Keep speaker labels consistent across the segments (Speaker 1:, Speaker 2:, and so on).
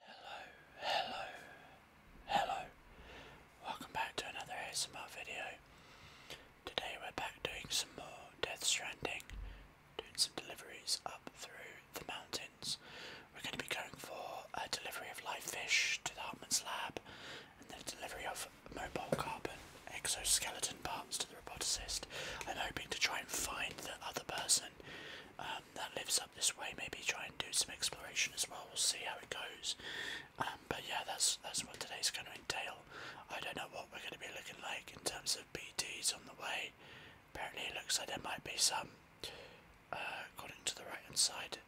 Speaker 1: Hello, hello, hello. Welcome back to another ASMR video. Today we're back doing some more Death Stranding, doing some deliveries up through the mountains. We're going to be going for a delivery of live fish to the Hartman's lab and then a delivery of mobile carbon exoskeleton bombs to the roboticist. I'm hoping to try and find the other person um, um, that lives up this way, maybe try and do some exploration as well. We'll see how it goes. Um, but yeah, that's that's what today's going to entail. I don't know what we're going to be looking like in terms of BDs on the way. Apparently, it looks like there might be some. Uh, according to the right hand side,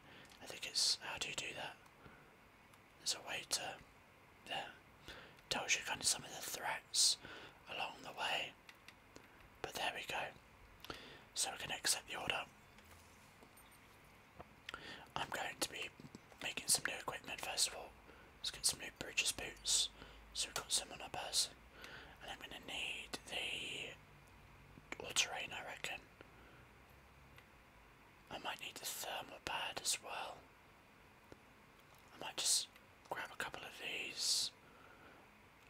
Speaker 1: I think it's how do you do that? There's a way to. There. Tells you kind of some of the threats along the way. But there we go. So we're going to accept the order. I'm going to be making some new equipment first of all. Let's get some new bridges boots. So we've got some on our bus, And I'm going to need the all terrain, I reckon. I might need the thermal pad as well. I might just grab a couple of these.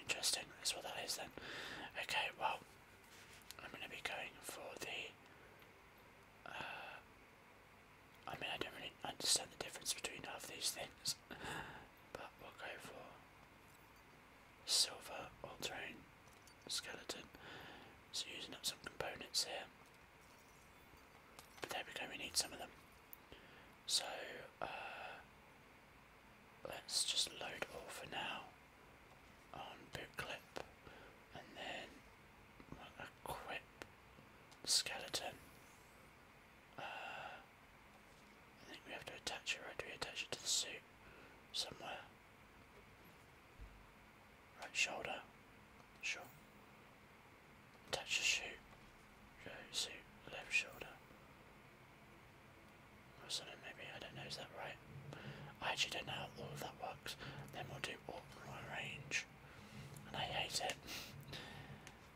Speaker 1: Interesting, that's what that is then. Okay, well, I'm going to be going for the. Uh, I mean, I don't really understand the difference between half these things, but we'll go for silver all terrain skeleton. So, using up some components here. But there we go, we need some of them. So, uh, let's just load all for now on boot clip and then equip skeleton. Uh, I think we have to attach it, right? we attach it to the suit somewhere? Right shoulder, sure. Attach the shoe, go suit, left shoulder. Or something maybe, I don't know, is that right? I actually don't know how all of that works. Then we'll do Orkney range. And I hate it.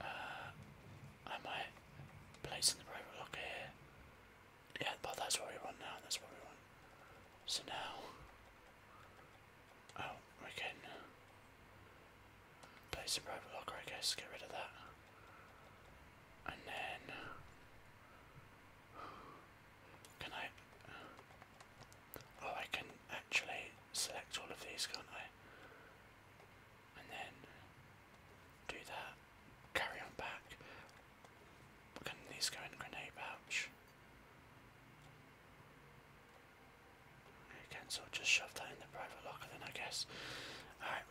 Speaker 1: uh, I might place in the private locker here. Yeah, but that's what we want now, that's what we want. So now Oh, we can place the private locker I guess, get rid of that. And then can I Oh I can actually select all of these, can't I? And then do that. Carry on back. Can these go in grenade pouch? Okay, so I'll just shove that in the private locker then I guess. Alright,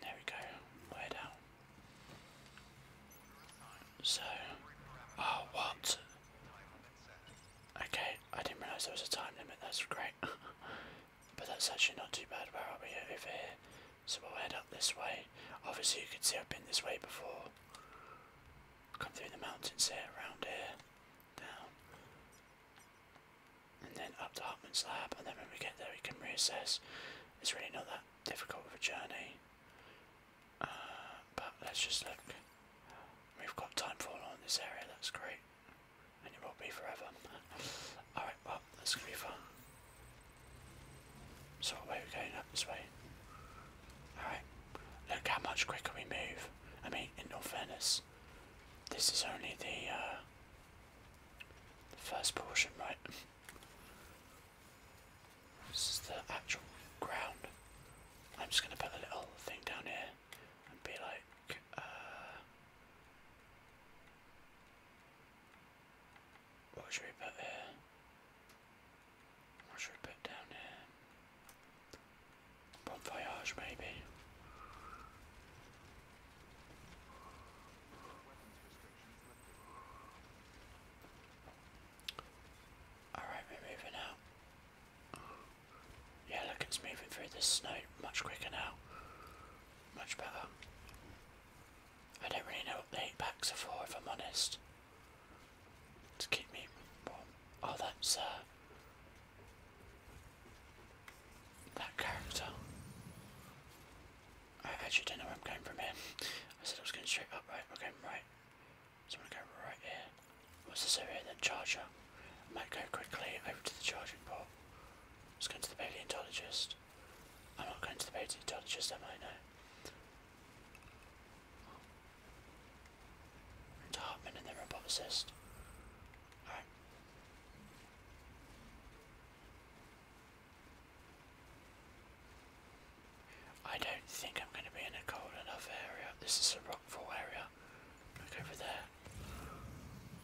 Speaker 1: there we go. we down. So, oh, what? Okay, I didn't realise there was a time limit. That's great. but that's actually not too bad. Where are we over here? So we'll head up this way. Obviously, you can see I've been this way before. Come through the mountains here, around here, down and then up to Hartman's lab and then when we get there we can reassess. It's really not that difficult of a journey. Uh, but let's just look. We've got time for all in this area, that's great. And it will be forever. Alright, well, that's gonna be fun. So what are we going up this way? Alright. Look how much quicker we move. I mean, in all fairness, this is only the uh, the first portion, right? This is the actual ground. I'm just gonna put a little thing down here and be like, uh, what should we put here? What should we put down here? Bon voyage, maybe. Alright, we're moving out. Yeah, look, it's moving through the snow much quicker now. Much better. I don't really know what the packs are for, if I'm honest. To keep me warm. Oh, that's, uh. That character. I actually don't know where I'm going from here. I said I was going straight up, right? Okay, right. So I'm going to go right here. What's this over here then? Charger. I might go quickly over to the charging port. Let's go to the paleontologist. I'm not going to the paleontologist, am I? No. To Hartman and the roboticist. Alright. I don't think I'm going to be in a cold enough area. This is a rockfall area. Look over there.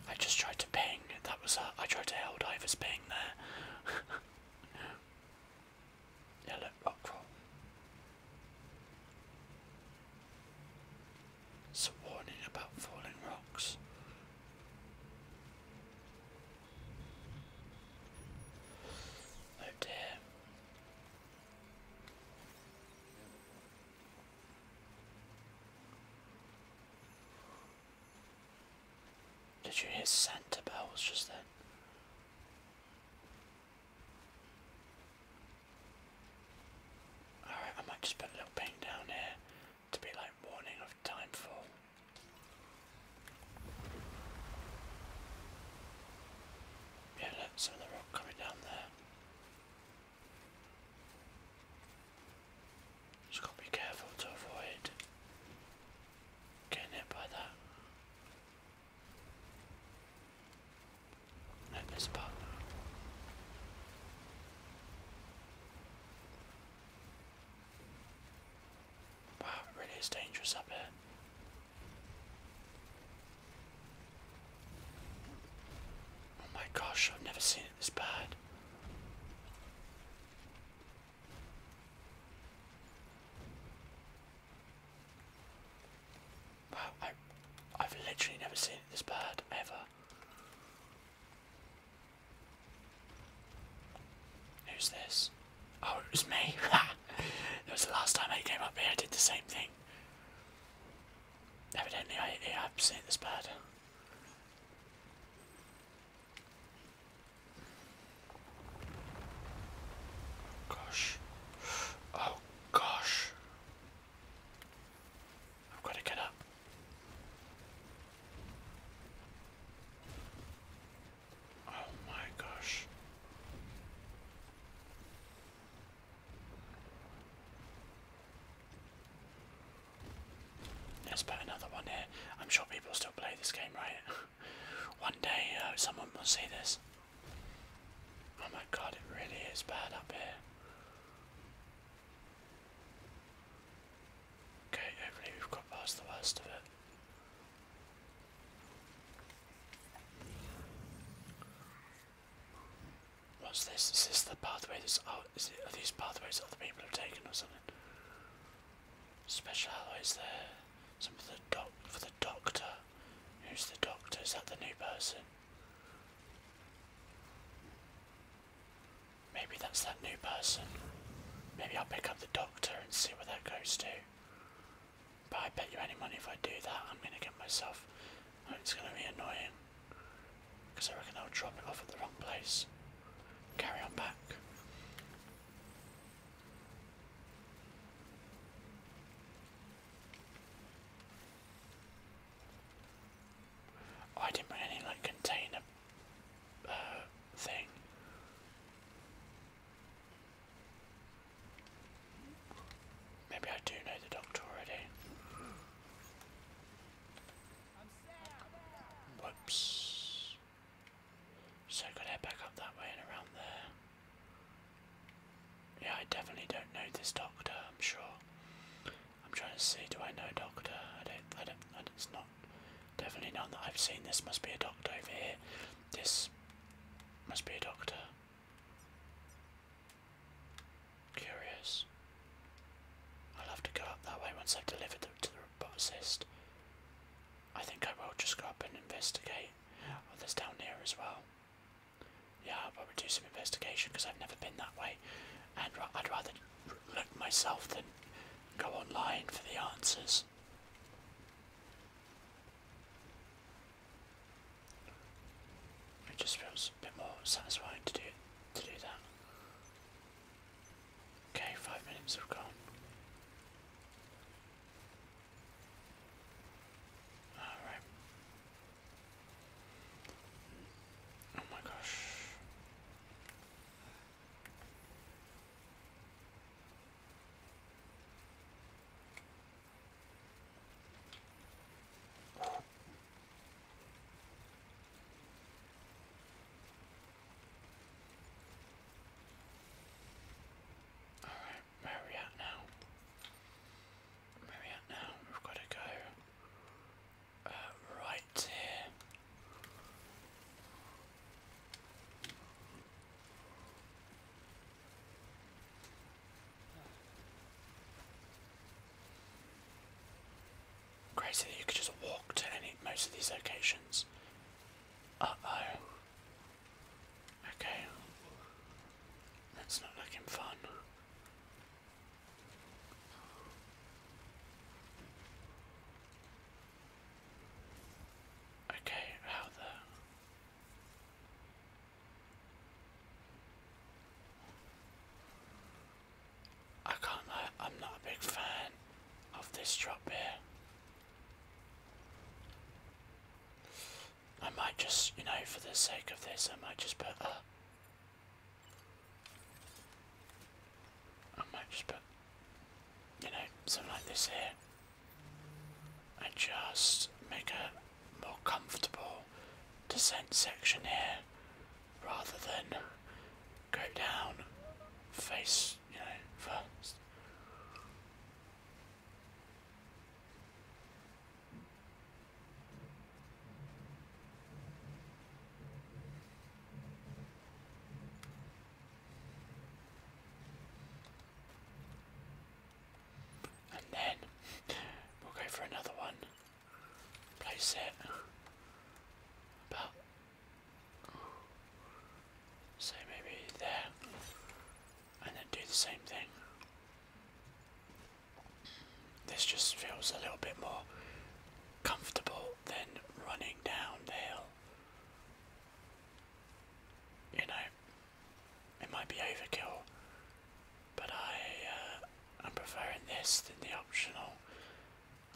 Speaker 1: I just tried to ping. That was a, uh, I tried to hell divers ping there. yeah, rockfall. It's warning about falling rocks. Oh dear. Did you hear Santa bells just then? Alright, I might just put a little ping down here to be like warning of timefall. Yeah, look, some the rock coming down there. Just gotta be careful to avoid getting hit by that. Let this part. Wow, really is dangerous up here. Oh my gosh, I've never seen it this bad. Wow, I, I've literally never seen it this bad, ever. Who's this? Oh, it was me. that was the last time I came up here, I did the same thing. Evidently, I, I've seen this bird. Gosh. Oh, gosh. I've got to get up. Oh my gosh. Let's another one here. I'm sure people still play this game, right? one day uh, someone will see this. Oh my god, it really is bad up here. Okay, hopefully we've got past the worst of it. What's this? Is this the pathway that's out? Is it, are these pathways that other people have taken or something? Special alloys there. Some for the doc for the doctor. Who's the doctor? Is that the new person? Maybe that's that new person. Maybe I'll pick up the doctor and see what that goes to. But I bet you any money if I do that, I'm gonna get myself. Oh, it's gonna be annoying. Because I reckon I'll drop it off at the wrong place. Carry on back. I didn't bring any like container thing. Maybe I do know the doctor already. Whoops. So I got head back up that way and around there. Yeah, I definitely don't know this doctor, I'm sure. I'm trying to see. Do I know doctor? I don't. I don't. it's not. Definitely none that I've seen. This must be a doctor over here. This must be a doctor. Curious. I'll have to go up that way once I've delivered them to the roboticist. I think I will just go up and investigate. Oh, there's down here as well. Yeah, I'll probably do some investigation because I've never been that way. And I'd rather look myself than go online for the answers. It just feels a bit more satisfying to do to do that. Okay, five minutes have gone. Alright. Oh my gosh. Where are we at now? Where are we at now? We've got to go right here. Crazy you could just walk to any most of these locations. Uh oh. Okay. That's not looking fun. Okay, how the I can't I'm not a big fan of this drop here. I might just, you know, for the sake of this, I might just put a I might just you know, something like this here and just make a more comfortable descent section here rather than go down face, you know, first. And then we'll go for another one. Place it about so maybe there. And then do the same thing. This just feels a little bit more comfortable then running down the hill. You know, it might be overkill, but I, am uh, preferring this than the optional,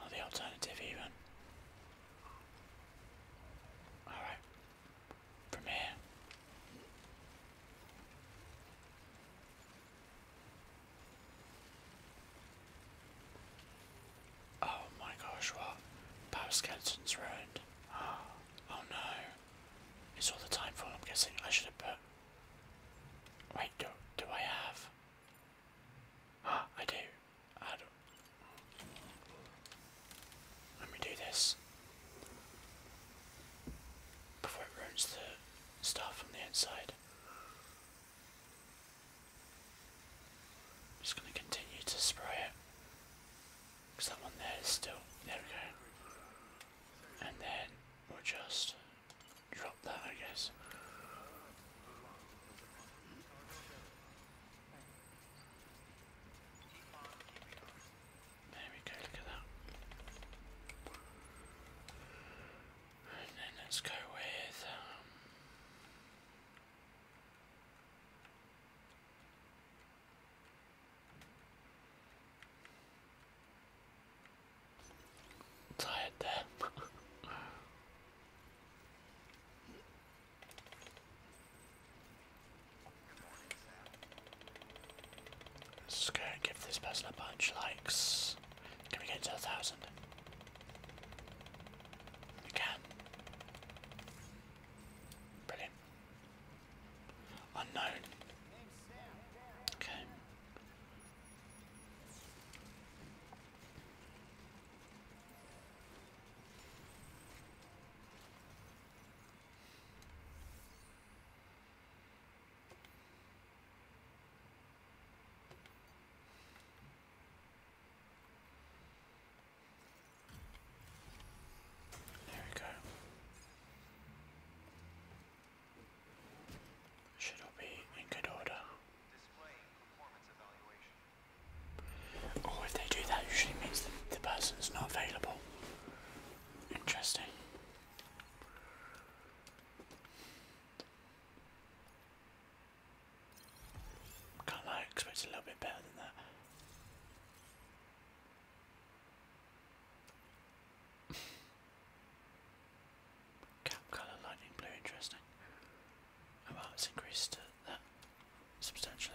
Speaker 1: or the alternative even. Alright, from here. Oh my gosh, what? Power skeleton's ruined. Ah, oh no. It's all the time for I'm guessing I should have put. Wait, do, do I have? Ah, I do. I do Let me do this. Before it ruins the stuff from the inside just going to continue to spray it because that one there is still, there we go. And then we'll just drop that I guess. There we go, look at that let's go with. Um, tired there. Let's go give this person a bunch likes. Can we get to a thousand? We can. Brilliant. Unknown. Okay. There we go. Should all be in good order. Oh, if they do that, usually means that the person's not available. Interesting. Can't I expect a little bit better than that. Cap colour lightning blue, interesting. Oh, well, it's increased that substantially.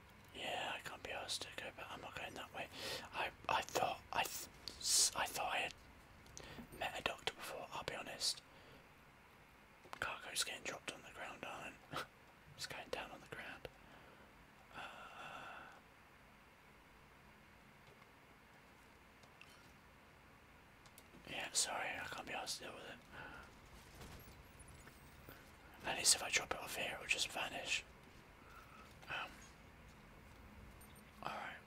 Speaker 1: Yeah, I can't be asked to go but I'm not going that way. I I thought I I thought I had met a doctor before. I'll be honest. Cargo's getting dropped on the ground, are it's going down on the ground. Uh, yeah, sorry, I can't be asked to deal with it. At least if I drop it off here, it'll just vanish. Um, alright,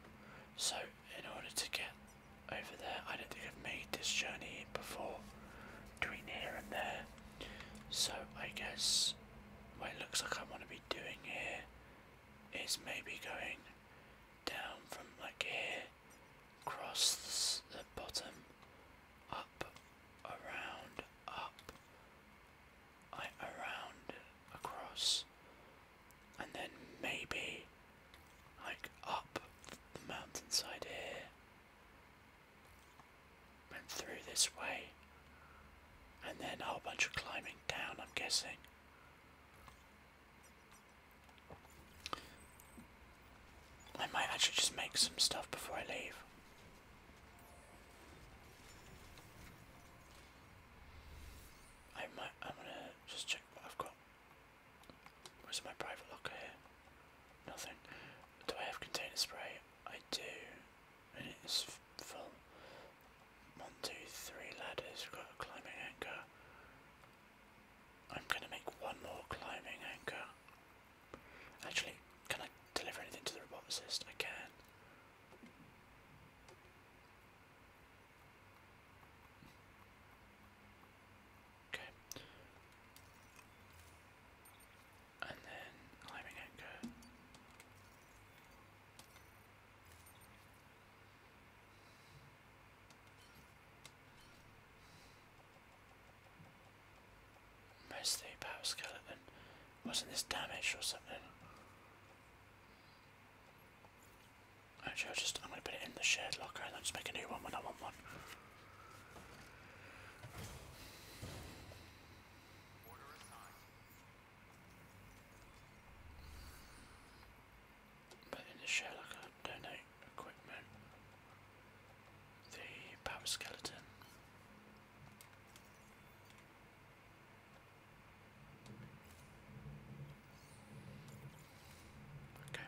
Speaker 1: so in order to get over there, I don't think I've made this journey before between here and there. So I guess what it looks like I want to be doing here is maybe going down from like here, across the bottom, up around, up, I around, across, and then maybe like up the mountainside here, and through this way, and then a whole bunch of climbing down, I'm guessing. I might actually just make some stuff before I leave. I might. I'm gonna just check what I've got. Where's my private locker here? Nothing. Do I have container spray? I do. And it's full. One, two, three ladders. We've got a climbing anchor. I'm gonna make one more climbing anchor. Actually, can I deliver anything to the roboticist? I can. Okay. And then climbing anchor. Mostly power skeleton. Wasn't this damaged or something? Actually, I'll just I'm gonna put it in the shared locker and I'll just make a new one when I want one. But in the shared locker, donate equipment the power skeleton. Okay.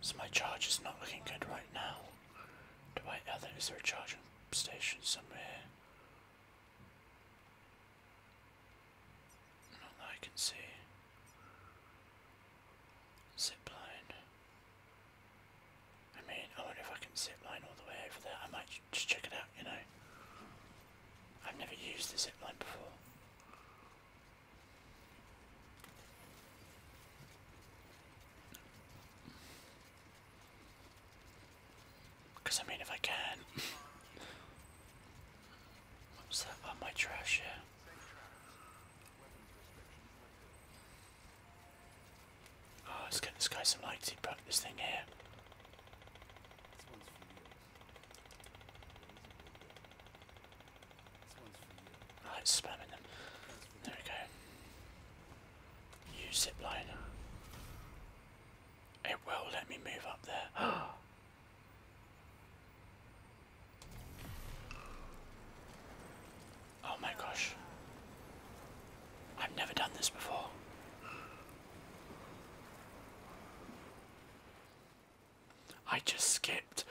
Speaker 1: So my charge is not looking good right now. Do I other uh, is there a charging station somewhere? Not that I can see. Zip line. I mean, I wonder if I can zip line all the way over there. I might just check it out, you know. I've never used the zip line before. Because I mean, if I can. what was that? Oh, my trash, yeah. Oh, let's get this guy some lighting back this thing here. Right, oh, spamming them. There we go. Use zipline. It will let me move up there. Oh, Oh my gosh. I've never done this before. I just skipped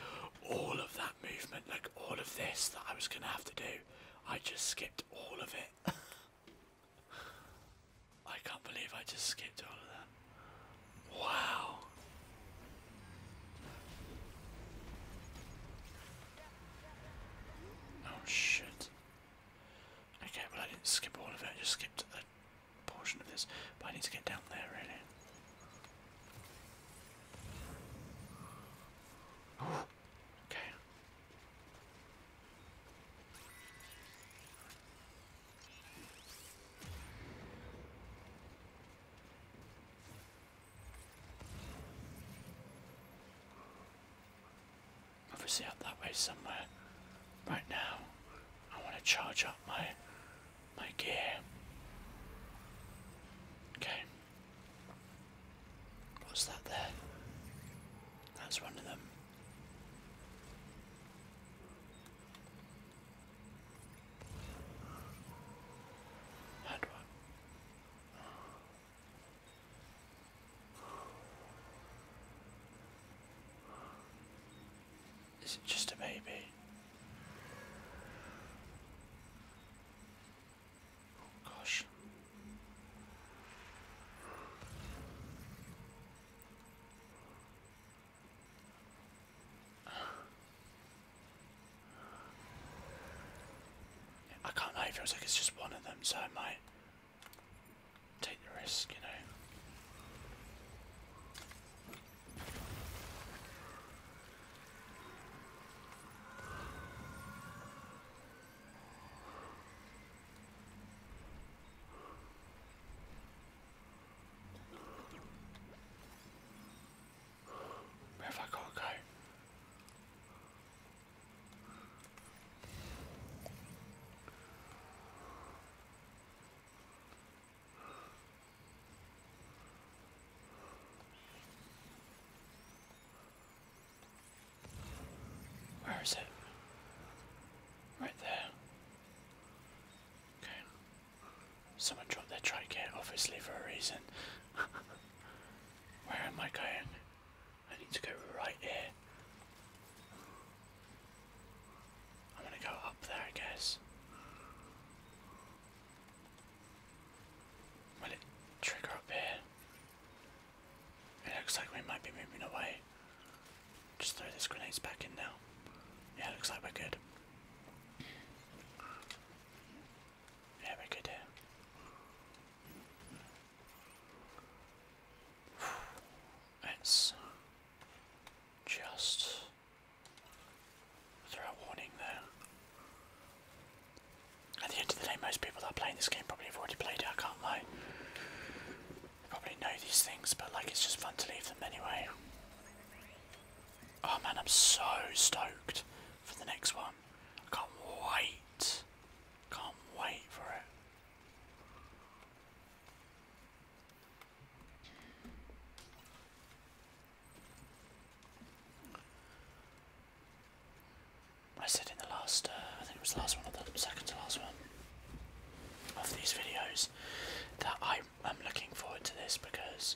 Speaker 1: all of that movement, like all of this that I was gonna have to do. I just skipped all of it. I can't believe I just skipped all of that. Wow. Oh shit. Okay, well I didn't skip all of it, I just skipped a portion of this. But I need to get down there really. okay. Obviously up that way somewhere. Right now, I want to charge up my my gear. Okay. What's that there? That's one of them. Is it just a baby? Oh, gosh. I can't lie, it's just one of them, so I might take the risk, you know. Where have I got to go? Where is it? Right there. Okay. Someone dropped their tricare, obviously for a reason. Where am I going? I need to go right here. I'm gonna go up there, I guess. Will it trigger up here? It looks like we might be moving away. Just throw this grenade back in now. Yeah, looks like we're good. Yeah, we could do. let just throw a warning there. At the end of the day, most people that are playing this game probably have already played it, I can't lie. They probably know these things, but like it's just fun to leave them anyway. Oh man, I'm so stoked for the next one. I can't wait. Can't wait for it. I said in the last, uh, I think it was the last one, or the second to last one of these videos, that I am looking forward to this because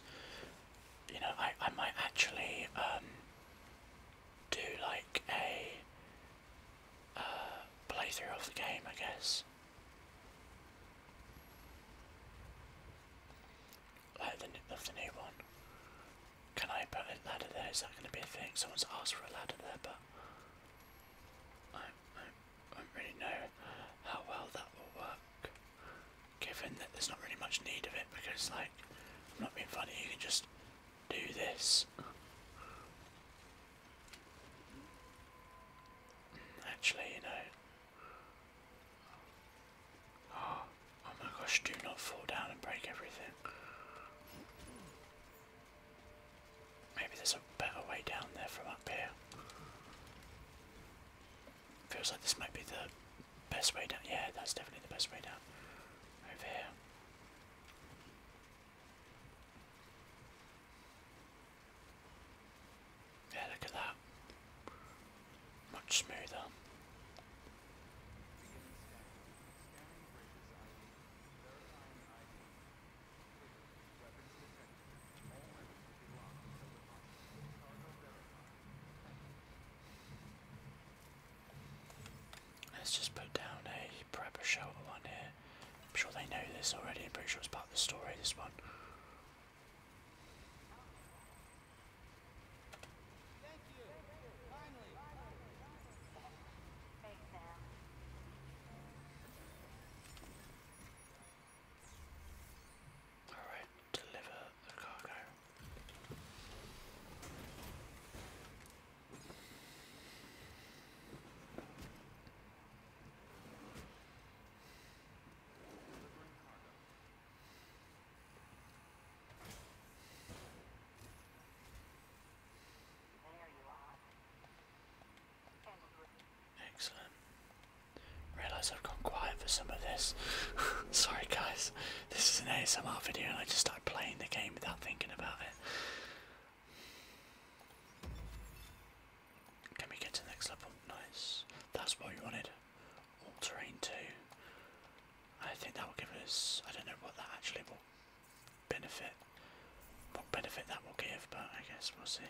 Speaker 1: you know, I, I might actually um, do like a uh, playthrough of the game, I guess. Like the, of the new one. Can I put a ladder there? Is that going to be a thing? Someone's asked for a ladder there, but I, I, I don't really know how well that will work given that there's not really much need of it because like I'm not being funny you can just do this actually you know oh, oh my gosh do not fall down and break everything maybe there's a better way down there from up here Feels like this might be the best way down. Yeah, that's definitely the best way down. Over here. Yeah, look at that. Much smoother. Let's just put down a prepper shelter on here. I'm sure they know this already, I'm pretty sure it's part of the story, this one. Alright, deliver the cargo. There you are. Excellent. Realise I've gone quiet for some of this. Sorry guys, this is an ASMR video and I just started playing the game without thinking about it. Can we get to next level? Nice. That's what we wanted. All terrain 2. I think that will give us, I don't know what that actually will benefit, what benefit that will give, but I guess we'll see.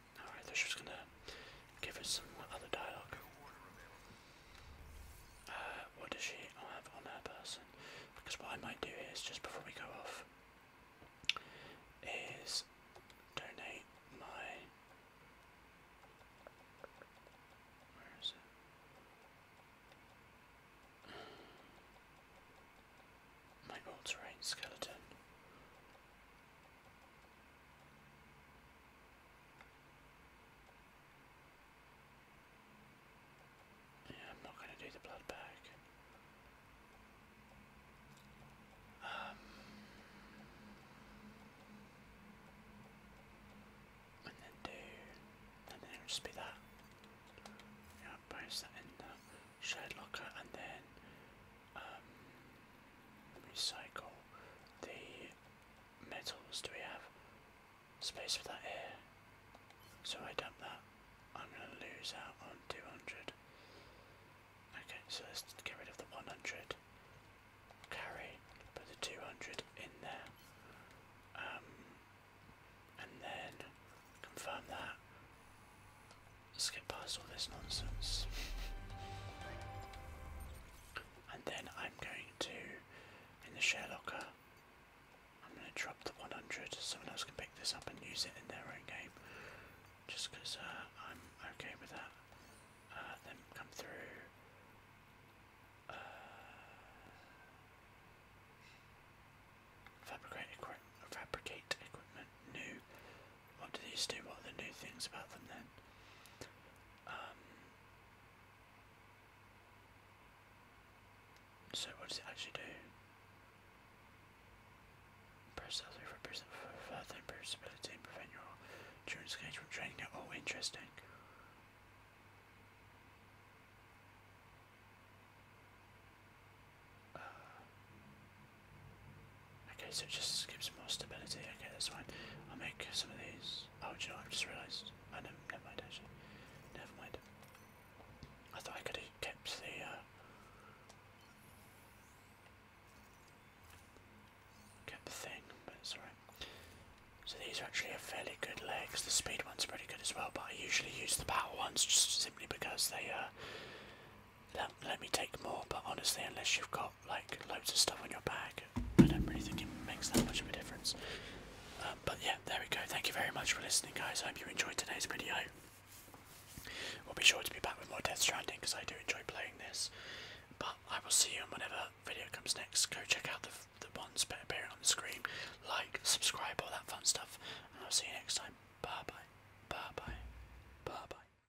Speaker 1: Alright, they she's gonna give us some other dialogue. Uh, what does she have on her person? Because what I might do is, just before we go off, is donate my. Where is it? My all terrain skeleton. Yeah, I'm not going to do the blood bag. Um, and then do, and then just be that. Yeah, i that in the shade locker and then um, recycle the metals. Do we have space for that here? So I dump that. I'm going to lose out on 200. Okay, so let's get rid of the 100. Carry, put the 200 in there. Um, and then confirm that. Let's get past all this nonsense. And then I'm going to, in the share locker, I'm going to drop the 100 so someone else can pick this up and use it in their own game. Just because uh, I'm okay with that. Uh, come through. Uh, fabricate, equi fabricate equipment new. What do these do? What are the new things about them then? Um, so what does it actually do? Press L3 for further improve and prevent your endurance gauge from draining Oh, interesting. Uh, Okay, so it just gives more stability. Okay, that's fine. I'll make some of these. Oh, do i just realised. Oh, never mind, Never mind. I thought I could have kept the. Uh, kept the thing, but it's alright. So these are actually a fairly good legs. The speed one's are pretty good as well, but I usually use the power ones just simply because they uh, let me take more. But honestly, unless you've got got like loads of stuff on your bag, I don't really think it makes that much of a difference. Um, but yeah, there we go. Thank you very much for listening, guys. I hope you enjoyed today's video. We'll be sure to be back with more Death Stranding because I do enjoy playing this. But I will see you on whenever video comes next. Go check out the, the ones appearing on the screen. Like, subscribe, all that fun stuff. And I'll see you next time. Bye bye. Bye bye. Bye bye.